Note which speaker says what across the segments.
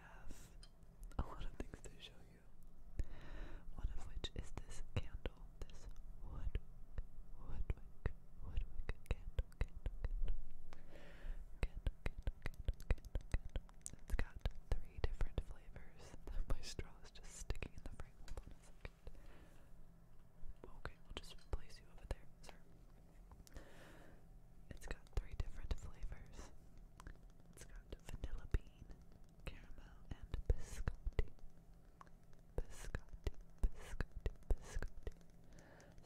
Speaker 1: have a lot of things to show you. One of which is this candle, this wood, woodwick, woodwick candle, candle, candle, candle, candle. It's got three different flavors. My straw is just sticking in the frame. Hold on a second. Okay, we'll just place you over there, sir. It's got three different flavors. It's got vanilla bean, caramel, and biscotti. Biscotti, biscotti, biscotti.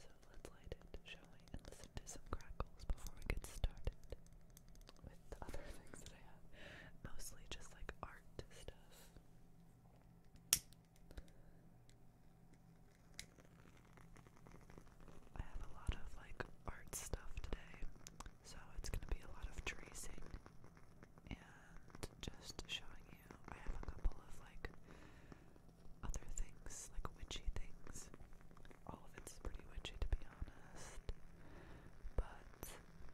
Speaker 1: So let's light it, shall we, and listen to some crackles before we get started with the other things that I have. Mostly just like art stuff. I have a lot of like art stuff today, so it's gonna be a lot of tracing and just showing you. I have a couple of like other things, like witchy things. All of it's pretty witchy to be honest, but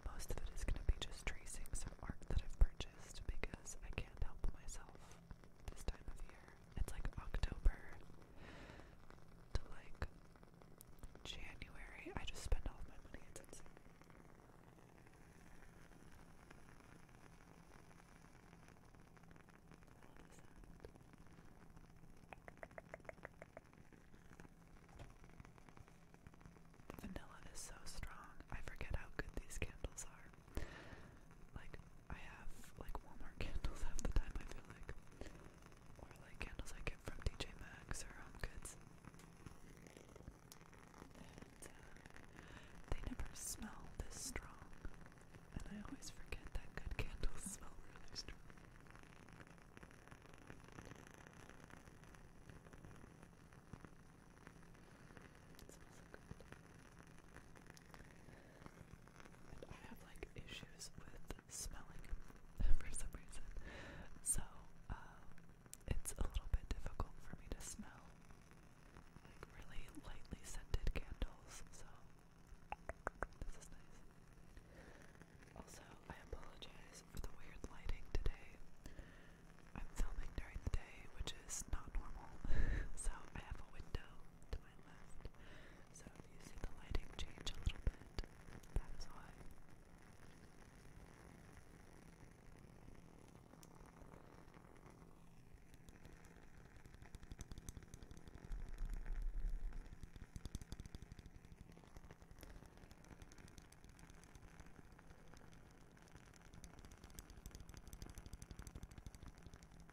Speaker 1: most of it is gonna be just tracing some art that I've purchased because I can't help myself this time of year. It's like October to like January. I just spend all my money. It's insane. The vanilla is so strong. I forget how good these candles are. Like I have like Walmart candles half the time I feel like. Or like candles I get from DJ Maxx or Home Goods. Uh, they never smell this strong. And I always forget that good candles smell really strong. I have like issues with smelling for some reason. So uh, it's a little bit difficult for me to smell like really lightly scented candles. So this is nice. Also, I apologize for the weird lighting today. I'm filming during the day, which is not normal. so I have a window to my left. So if you see the lighting change a little bit, that is why.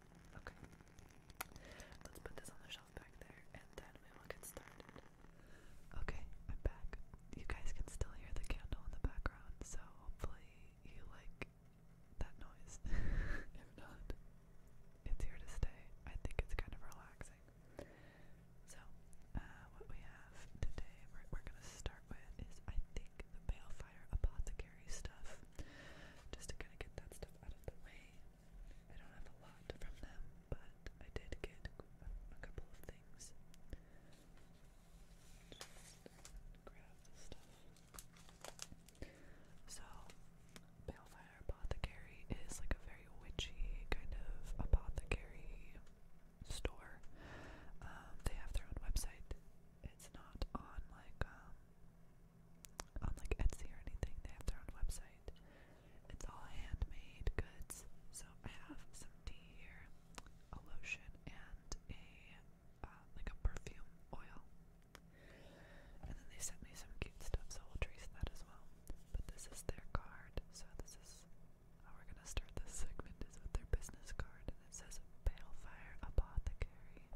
Speaker 1: Okay. Let's put this on the shelf back there and then we will get started. Okay, I'm back. You guys can still hear the candle in the background, so hopefully you like that noise. if not, it's here to stay. I think it's kind of relaxing. So, uh, what we have today, we're gonna start with is I think take the Balefire Apothecary stuff just to kind of get that stuff out of the way. I don't have a lot from them, but I did get a, couple of things. Just stuff. So, Balefire Apothecary is like a very witchy kind of apothecary store. Um, they have their own website it's not on like um on like Etsy or anything. They have their own website. It's all handmade goods. So I have some tea here, a lotion, and a uh, like a perfume oil. And then they sent me some cute stuff, so we'll trace that as well. But this is their card, so this is how we're gonna start this segment is with their business card, and it says Balefire Apothecary.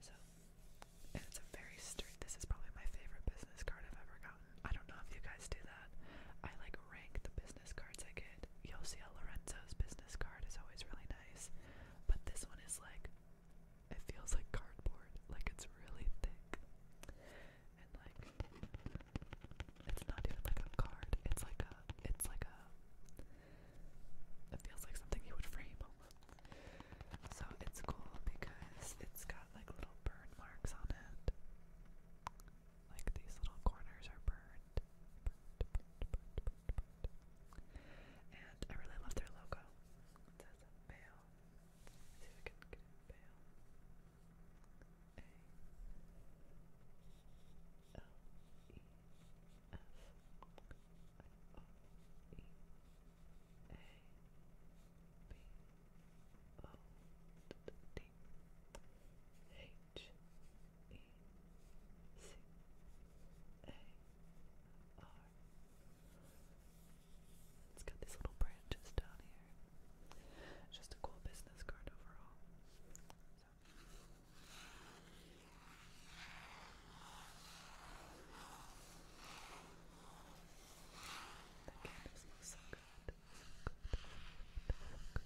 Speaker 1: So it's a very strict this is probably my favorite business card I've ever gotten. I don't know if you guys do that. I like rank the business cards I get. Yosiel Lorenzo's business card is always really nice. But this one is like it feels like cardboard, like it's really thick. And like it's not even like a card, it's like a it's like a it feels like something you would frame So it's cool because it's got like little burn marks on it. Like these little corners are burned. And I really love their logo out. Let's see if we can get it bail. A L E F I O E A B O D H E C A R it's got these little branches down here. just a cool business card overall. So. That candle So good. So good. So good. So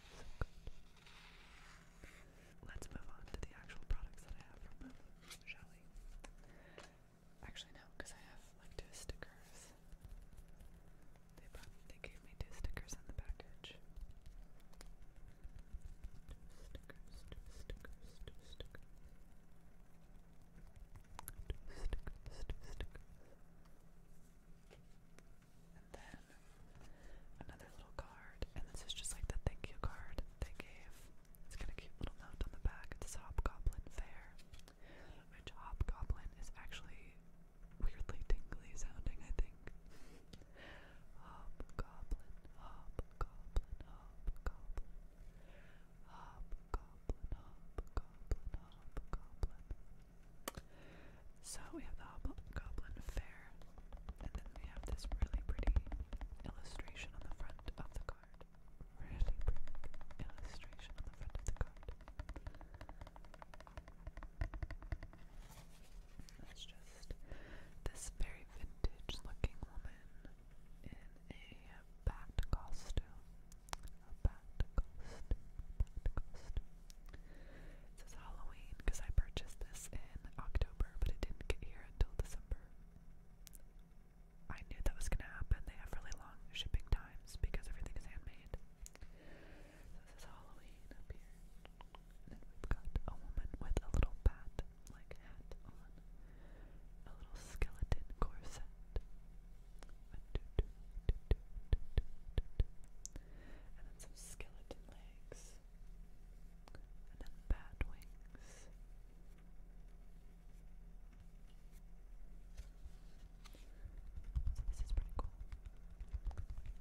Speaker 1: good. So good. Let's move on to the actual products that I have from them, Actually, no, because I have like two stickers. They brought, they gave me two stickers in the package. Two stickers, two stickers, two stickers. Two stickers, two stickers and then another little card, and this is just like the thank you card they gave. It's got a cute little note on the back. It says Hobgoblin Fair, which Hobgoblin is actually weirdly tingly sounding, I think. Hobgoblin, Hobgoblin, Hobgoblin, Hobgoblin, Hobgoblin, Hobgoblin. So we have the Hobgoblin Fair, and then we have this really pretty illustration on the front of the card. Really pretty illustration on the front of the card. That's just this very vintage looking woman in a bat costume. A bat costume, bat costume. It says Halloween because I purchased this in October, but it didn't get here until December. I knew that was gonna happen. They have really long shipping times because everything is handmade. So this is Halloween up here. then we've got a woman with a little bat, like hat on, a little skeleton corset, and then some skeleton legs, and then bat wings. So this is pretty cool.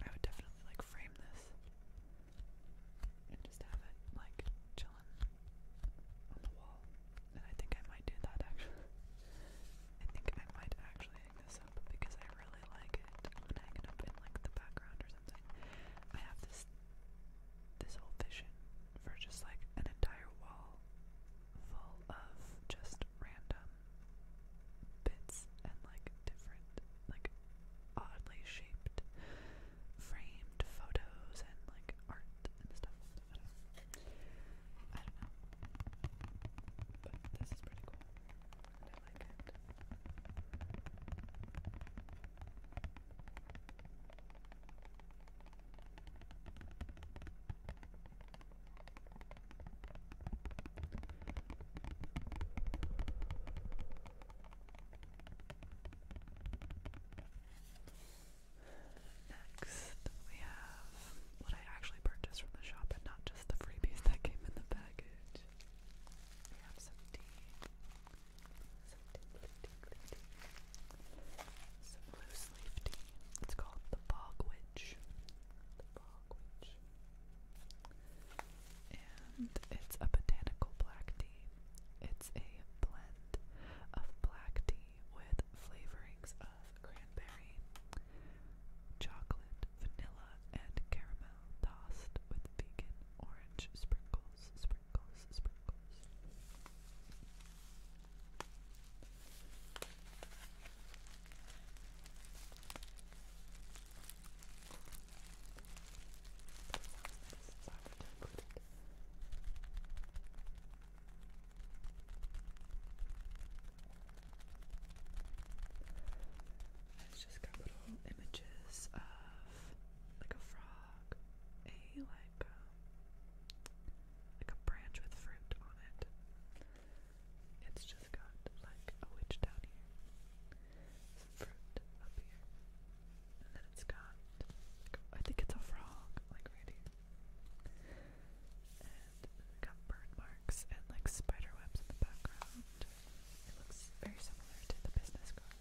Speaker 1: I would definitely like frame this and just have it like chilling on the wall. And I think I might do that actually. I think I might actually because I really like it. I'm going it like the background or something. I have this this whole vision for just like an entire wall full of just random bits and like different like oddly shaped framed photos and like art and stuff. don't know. I don't know. But this is pretty cool. I like Next, we have what I actually purchased from the shop and not just the freebies that came in the package. Have some tea. Some tingly, tingly tea. Some loose leaf tea. It's called the Bog Witch. The Bog Witch. And it's a botanical black tea. It's a blend of black tea with flavorings of cranberry, chocolate, vanilla, and caramel tossed with vegan orange sprinkles, sprinkles, sprinkles. That it's just got little images of like a frog, a like um, like a branch with fruit on it. It's just got like a witch down here, some fruit up here, and then it's got like, I think it's a frog like right here and we got burn marks and like spider webs in the background. It looks very similar to the business card.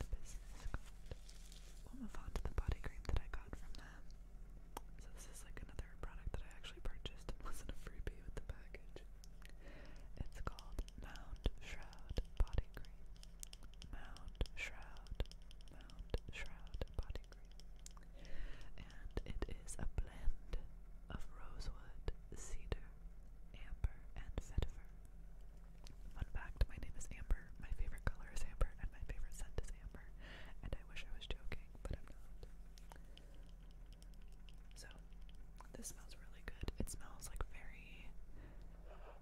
Speaker 1: The business card. We'll move on to the body cream that I got from them. So this is like another product that I actually purchased and wasn't a freebie with the package. It's called Mound Shroud Body Cream. Mound Shroud. Mound Shroud Body and it is a blend of rosewood, cedar, amber, and vetiver. Fun fact, my name is Amber, my favorite color is amber, and my favorite scent is amber. And I wish I was joking, but I'm not. So, this smells really good. It smells like very. Uh,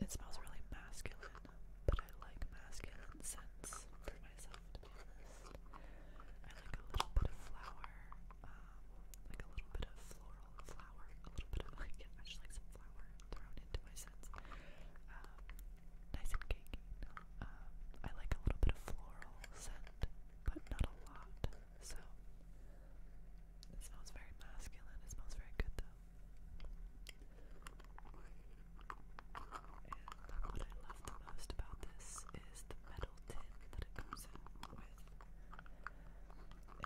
Speaker 1: it smells really masculine but I like masculine scents for myself, I like a little bit of flower, um, like a little bit of floral flower, a little bit of like, I just like some flower thrown into my scents. Um, nice and cakey. Um, I like a little bit of floral scent, but not a lot, so it smells very masculine. It smells very good though. And what I love the most about this is the metal tin that it comes in with.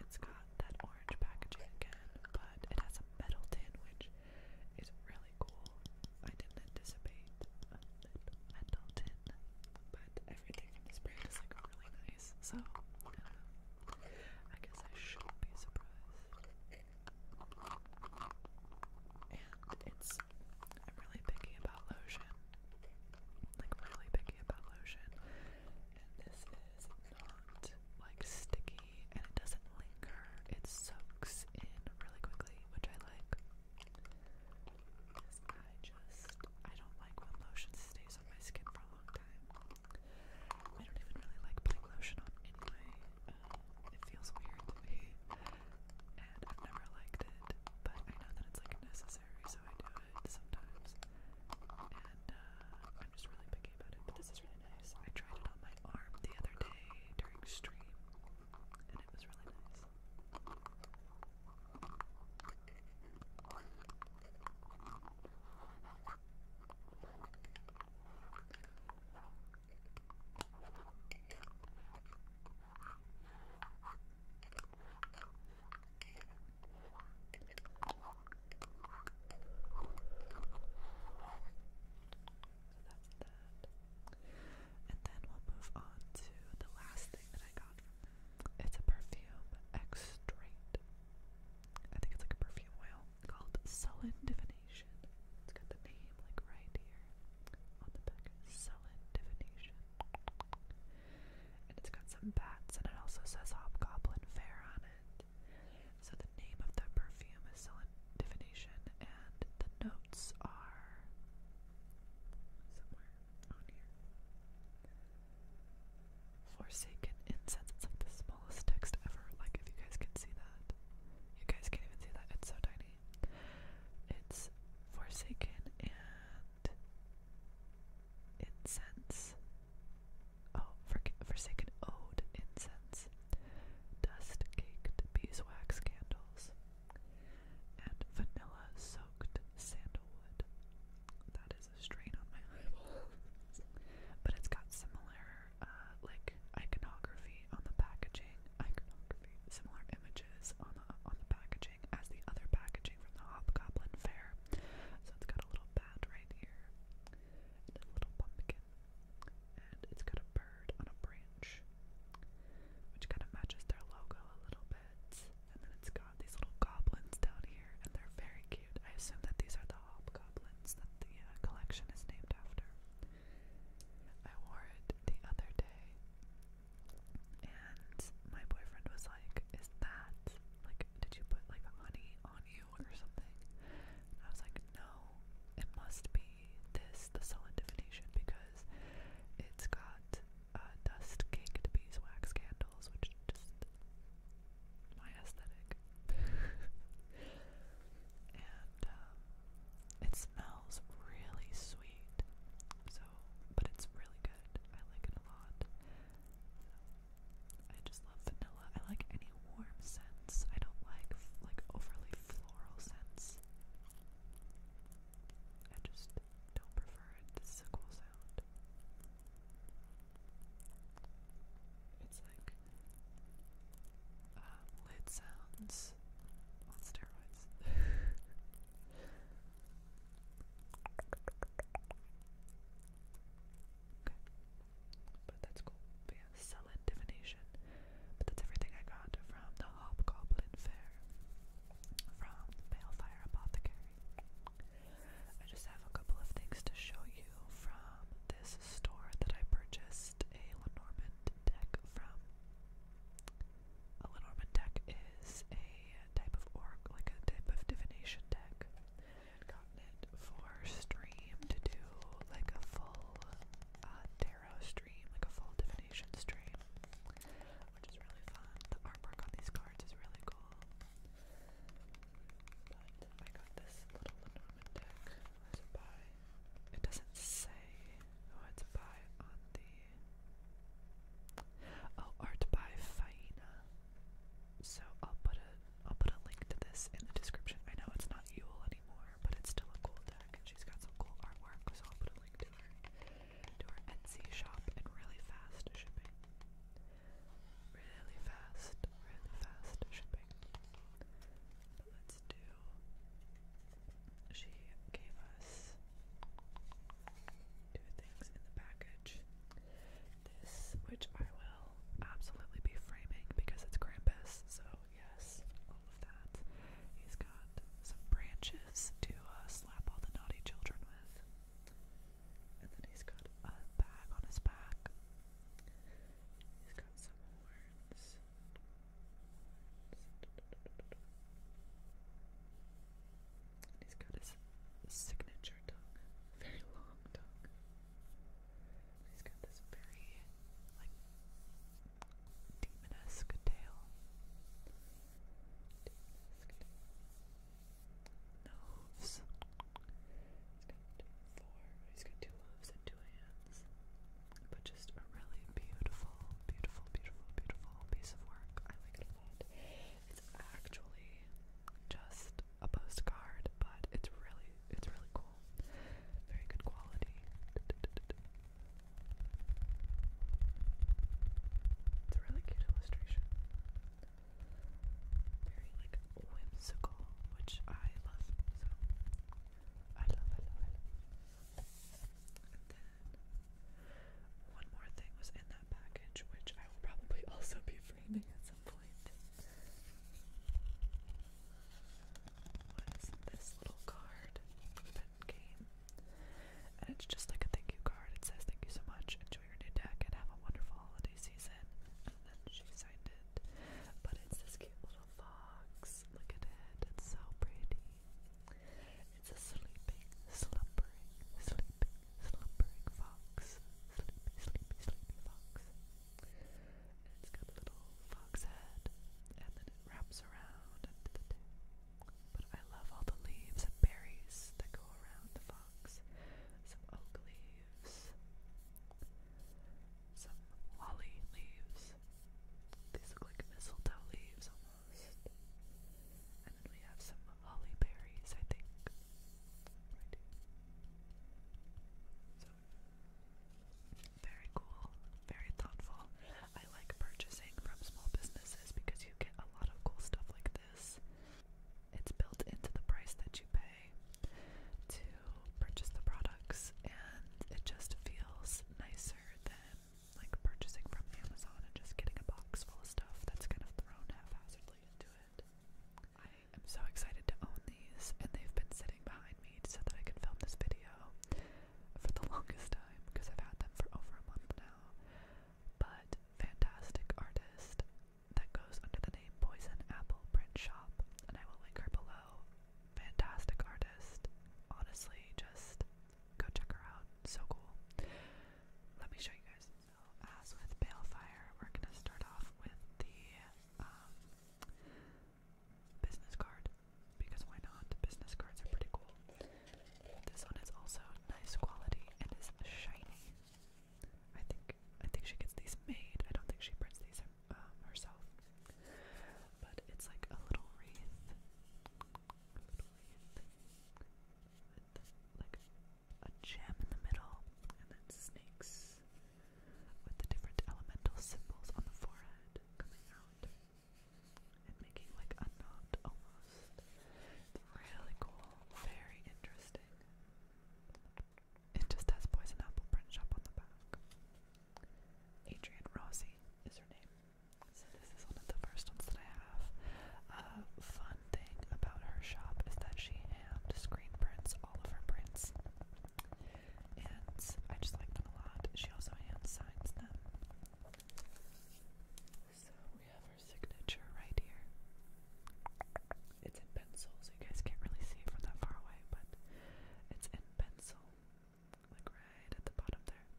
Speaker 1: It's got that orange packaging again, but it has a metal tin, which is really cool. I didn't anticipate metal tin, but everything in this brand is like really nice, so I guess I shouldn't be surprised. And it's I'm really picky about lotion. Like really picky about lotion. And this is not like sticky and it doesn't linger. It soaks in really quickly, which I like. Because I just I don't like when lotion stays on my skin for a long time. I don't even really like putting lotion on it feels weird to me, and I've never liked it, but I know that it's like necessary, so I do it sometimes. And uh, I'm just really picky about it, but this is really nice. I tried it on my arm the other day during stream, and it was really nice that's that. And then we'll move on to the last thing that I got. It's a perfume extract. I think it's like a perfume oil called Sullen Divination. It's got the name like right here on the back. Sullen Divination. And it's got some bats and it also says Hobgoblin Fair on it. So the name of the perfume is Sullen Divination and the notes are somewhere on here. Forsaken incense. It's like the smallest text ever. Like if you guys can see that. You guys can't even see that, it's so tiny. It's Forsaken and Incense. Oh, for Forsaken Ode Incense. Dust caked beeswax candles. And vanilla soaked sandalwood. That is a strain on my eyeballs. but it's got similar uh, like iconography on the packaging, iconography, similar images on the on the packaging as the other packaging from the Hobgoblin Fair. So it's got a little bat right here, and a little pumpkin, and it's got a bird on a branch, which kind of matches their logo a little bit. And then it's got these little goblins down here, and they're very I assume that these are the hobgoblins that the uh, collection is named after. I wore it the other day, and my boyfriend was like, Is that like, did you put like honey on you or something? I was like, No, it must be this, the solid because it's got uh, dust caked beeswax candles, which just my aesthetic. and um, it smells really sweet. So, but it's really good. I like it a lot. I just love vanilla. I like any warm scents. I don't like like overly floral scents. I just don't prefer it. This is a cool sound. It's like uh, lid sounds on steroids. But that's cool. But divination. that's everything I got from the Hobgoblin Fair from Balefire Apothecary. I just have a couple of things to show you from this store that I purchased a Lenormand deck from. A Lenormand deck is a type of orc, like a type of divination deck. i it for stream to do like a full uh, tarot stream, like a full divination stream, which is really fun. The artwork on these cards is really cool. I got this little Lenormand deck as a buy. It doesn't say who it's by on the Oh, art by Faina. So I'll put a I'll put a link to this in the description. I know it's not Yule anymore, but it's still a cool deck and she's got some cool artwork, so I'll put a link to her to her Etsy shop really fast shipping really fast, really fast shipping. let's do. She gave us two things in the package. This, which I will absolutely be framing because it's Krampus, so yes, all of that. He's got some branches to uh, slap all the naughty children with. And then he's got a bag on his back He's got some horns. he's got his signature tongue, very long tongue. he's got this very, like, demonesque tail. tail hooves. He's got four, he's got two hooves and two hands. But just a really beautiful, beautiful, beautiful, beautiful piece of work. I like It's actually just a postcard, but it's really, it's really cool. Very good quality. It's a really cute illustration very like whimsical, which I love. So I love, I love, I love. And then one more thing was in that package, which I will probably also be framing at some point. Was this little card that came? And it's just like a thank you card. It says, Thank you so much. Enjoy your new deck and have a wonderful holiday season. And then she says, designed it. But it's this cute little fox. Look at it. It's so pretty. It's a sleeping, slumbering, sleeping, slumbering fox. Sleepy, sleepy, sleepy fox. And it's got a little fox head. And then it wraps around into the tail. But I love all the leaves and berries that go around the fox. Some oak leaves leaves, some holly leaves. These look like mistletoe leaves almost. And then we have some holly berries, I think. So very cool, very thoughtful. I like purchasing from small businesses because you get a lot of cool stuff like this. It's built into the price that you pay to purchase the products, and it just feels nicer than like purchasing from Amazon and just getting a box full of stuff that's kind of thrown haphazardly into it. I am so excited to own these, and they've been sitting behind me so that I can film this video for the longest time because I've had them for over a month now. But fantastic artist, that goes under the name Poison Apple Print Shop, and I will link her below. Fantastic artist. Honestly, just go check her out. So cool. Let me show you guys. as with Balefire, we're gonna start off with the um, business card because why not? Business cards are pretty cool. This one is also nice quality and is shiny. I think I think she gets these made. I don't think she prints these um, herself. But it's like a little wreath, with like a gem in the middle, and then snakes with the different elemental symbols on the forehead coming out and making like a knot almost. really cool, very interesting. It just has poison apple print shop on the back. Adrian Rossi is her name. So this is one of the first ones that I have. fun thing about her shop is that she hand screen prints all of her prints. And I just like them a lot. She also hand signs them. So we have signature right here. It's in pencil, so you guys can't really see it from that far away, but it's in pencil, like right at the bottom there.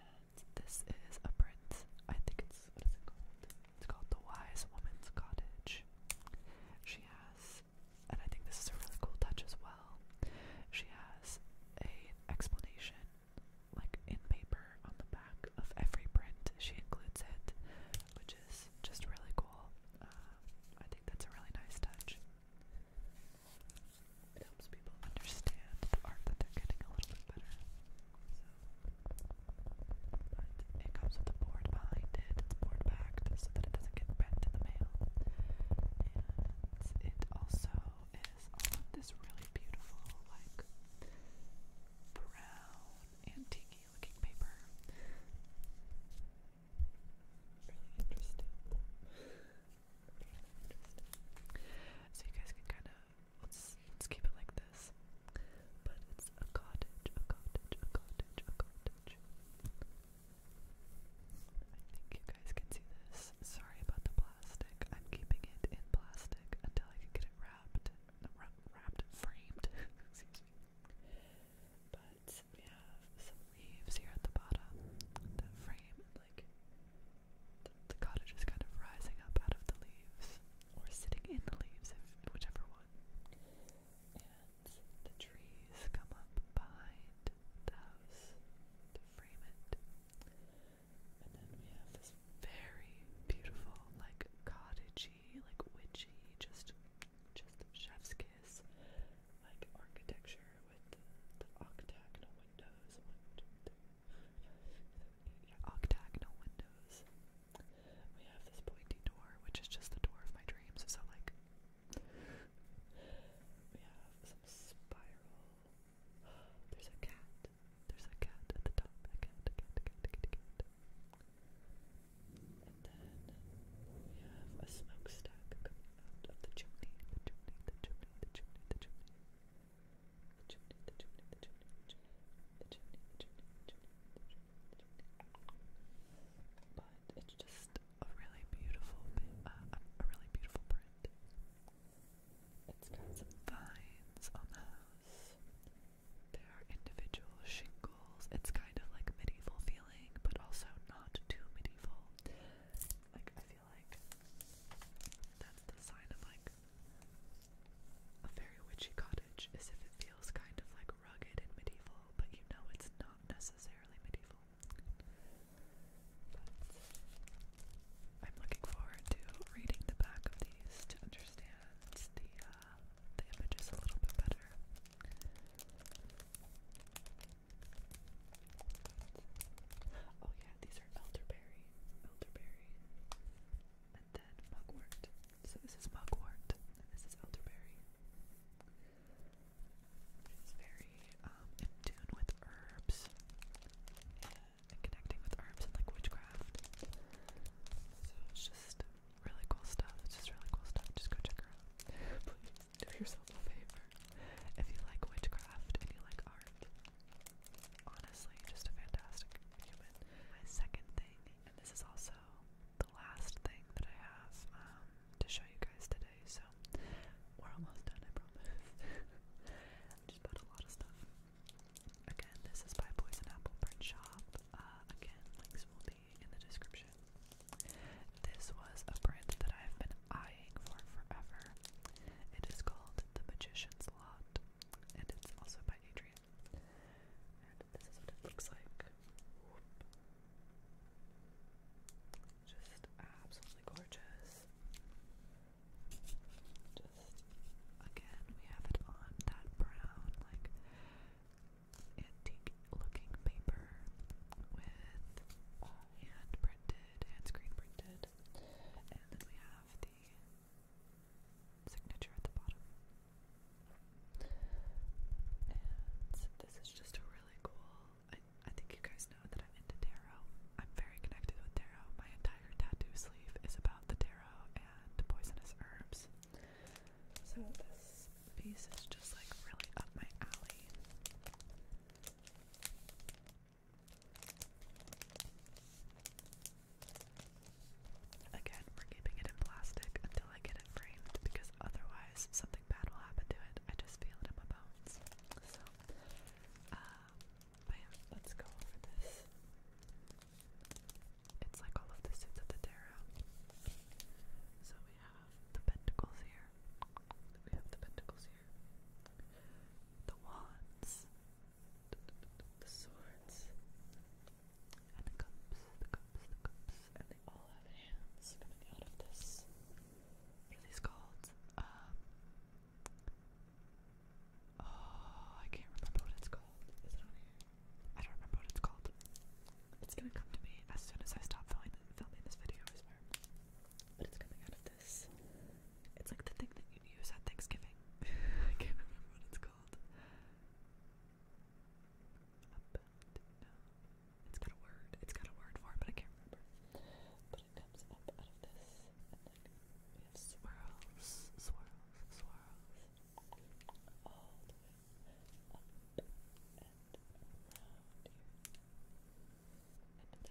Speaker 1: And this is a print. I think it's what is it called? It's called The Wise Woman's Cottage. She has, and I think this is a really cool touch as well. She has a explanation, like in paper on the back of every print she includes it, which is just really cool. Uh, I think that's a really nice touch. It helps people understand the art that they're getting a little bit better. So, it comes with a board behind board backed so that it doesn't get bent in the mail. And it also is this really beautiful, like brown antique looking paper. Really interesting. Really interesting. So you guys can kind of let's let's keep it like this. But it's a cottage, a cottage, a cottage, a cottage. I think you guys can see this. Sorry about the plastic. I'm keeping it in plastic until I can get it wrapped wrapped and framed, excuse me. But we have some leaves here at the bottom that frame, and like the, the cottage is kind of rising up out of the leaves, or sitting in the leaves, if whichever one. And the trees come up behind the house to frame it. And then we have this very beautiful, like cottagey, like witchy, just just chef's kiss, like architecture with the, octagonal windows. Yeah, octagonal windows. We have this pointy door, which is just the door of my dreams. So like. We have some spiral. There's a cat. There's a cat at the top. A cat, a cat, a cat, a cat, a cat. And then we have a smokestack coming out of the chimney. The chimney, the chimney, the chimney, the chimney. The chimney, the chimney, the chimney, the chimney. The chimney, But it's just a really beautiful, a really beautiful print. It's got some vines on the house. There are individual shingles. It's kind of like medieval feeling, but also not too medieval. Like, I feel like that's the sign of like a very witchy cottage, is if it feels kind of like rugged and medieval, but you know it's not necessarily medieval. I'm looking forward to reading the back of these to understand the uh, the images a little bit better. Oh yeah, these are elderberry, elderberry, and then mugwort. So this is mugwort, and this is elderberry. It's very um, in tune with herbs connecting with arms and like witchcraft. So it's just really cool stuff. It's just really cool stuff. Just go check her Please do yourself a favor. If you like witchcraft and you like art, honestly, just a fantastic human. second thing, and this is also the last thing that I have um, to show you guys today, so we're almost done, I promise. I just bought a lot of stuff. Again, this is by Poison Apple Print Shop. Uh, again, links will be in the description. This was a print that I've been eyeing for forever. It is called The Magician's Lot, and it's also by Adrian. And this is what it looks like. Just absolutely gorgeous. Just again, we have it on that brown, like antique looking paper with uh, hand printed, hand screen printed, and then we have the signature at the bottom. And this is just a really cool. I, I think you guys know that I'm into tarot. I'm very connected with tarot. My entire tattoo sleeve is about the tarot and poisonous herbs. So this piece is just like really up my alley. Again, we're keeping it in plastic until I get it framed because otherwise something bad will happen to it. I just feel it in my bones. So, um, Bam, let's go over this. It's like all of the suits of the tarot. So we have the pentacles here. We have the pentacles here. The wands. The swords. And the cups, the cups, the cups. And they all have hands coming out of this. What are these called? Um, Oh, I can't remember what it's called. Is it on here? I don't remember what it's called. It's gonna come to me as soon as I stop filming, this video, But it's coming out of this. It's like the thing that you use at Thanksgiving. I can't remember what it's called. It's got a word. It's got a word for it, but I can't remember it comes up out of this, and then we have swirls, swirls, swirls, all the way up and around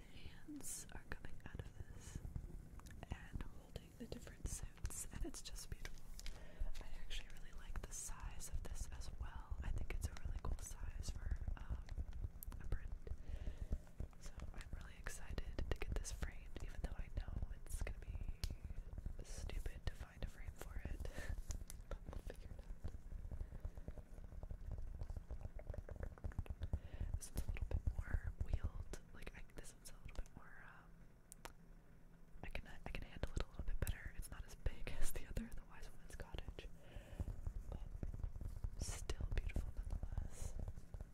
Speaker 1: And the hands are coming out of this and holding the different suits, and it's just beautiful. I actually really like the size of this as well. I think it's a really cool size for um, a print. So I'm really excited to get this framed, even though I know it's gonna be stupid to find a frame for it. but we'll figure it out. This one's a little bit more wheeled. Like this one's a little bit more. Um, I can I can handle it a little bit better. It's not as big as the other, the Wise Woman's Cottage, but still beautiful nonetheless.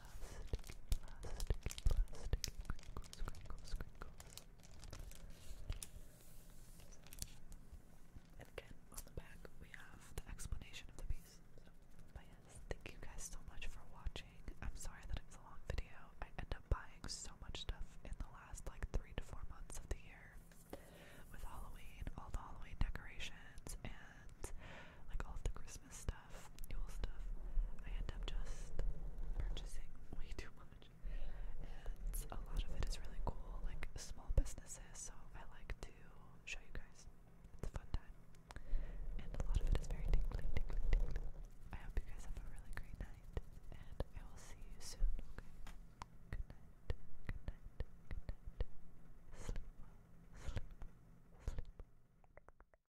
Speaker 1: plastic, plastic, plastic crinkles, crinkles, crinkles. And again, on the back, we have the explanation of the piece. So, yes, thank you guys so much for watching. I'm sorry that it was a long video. I end up buying so much stuff in the last like three to four months of the year with Halloween, all the Halloween decorations, and like all of the Christmas stuff, Yule stuff, I end up just purchasing way too much. And a lot of it is really cool, like small businesses, so I like to show you guys. It's a fun time. And a lot of it is very tingly, tingly, tingly. I hope you guys have a really great night, and I will see you soon, Good night, good night, good night. Sleep sleep sleep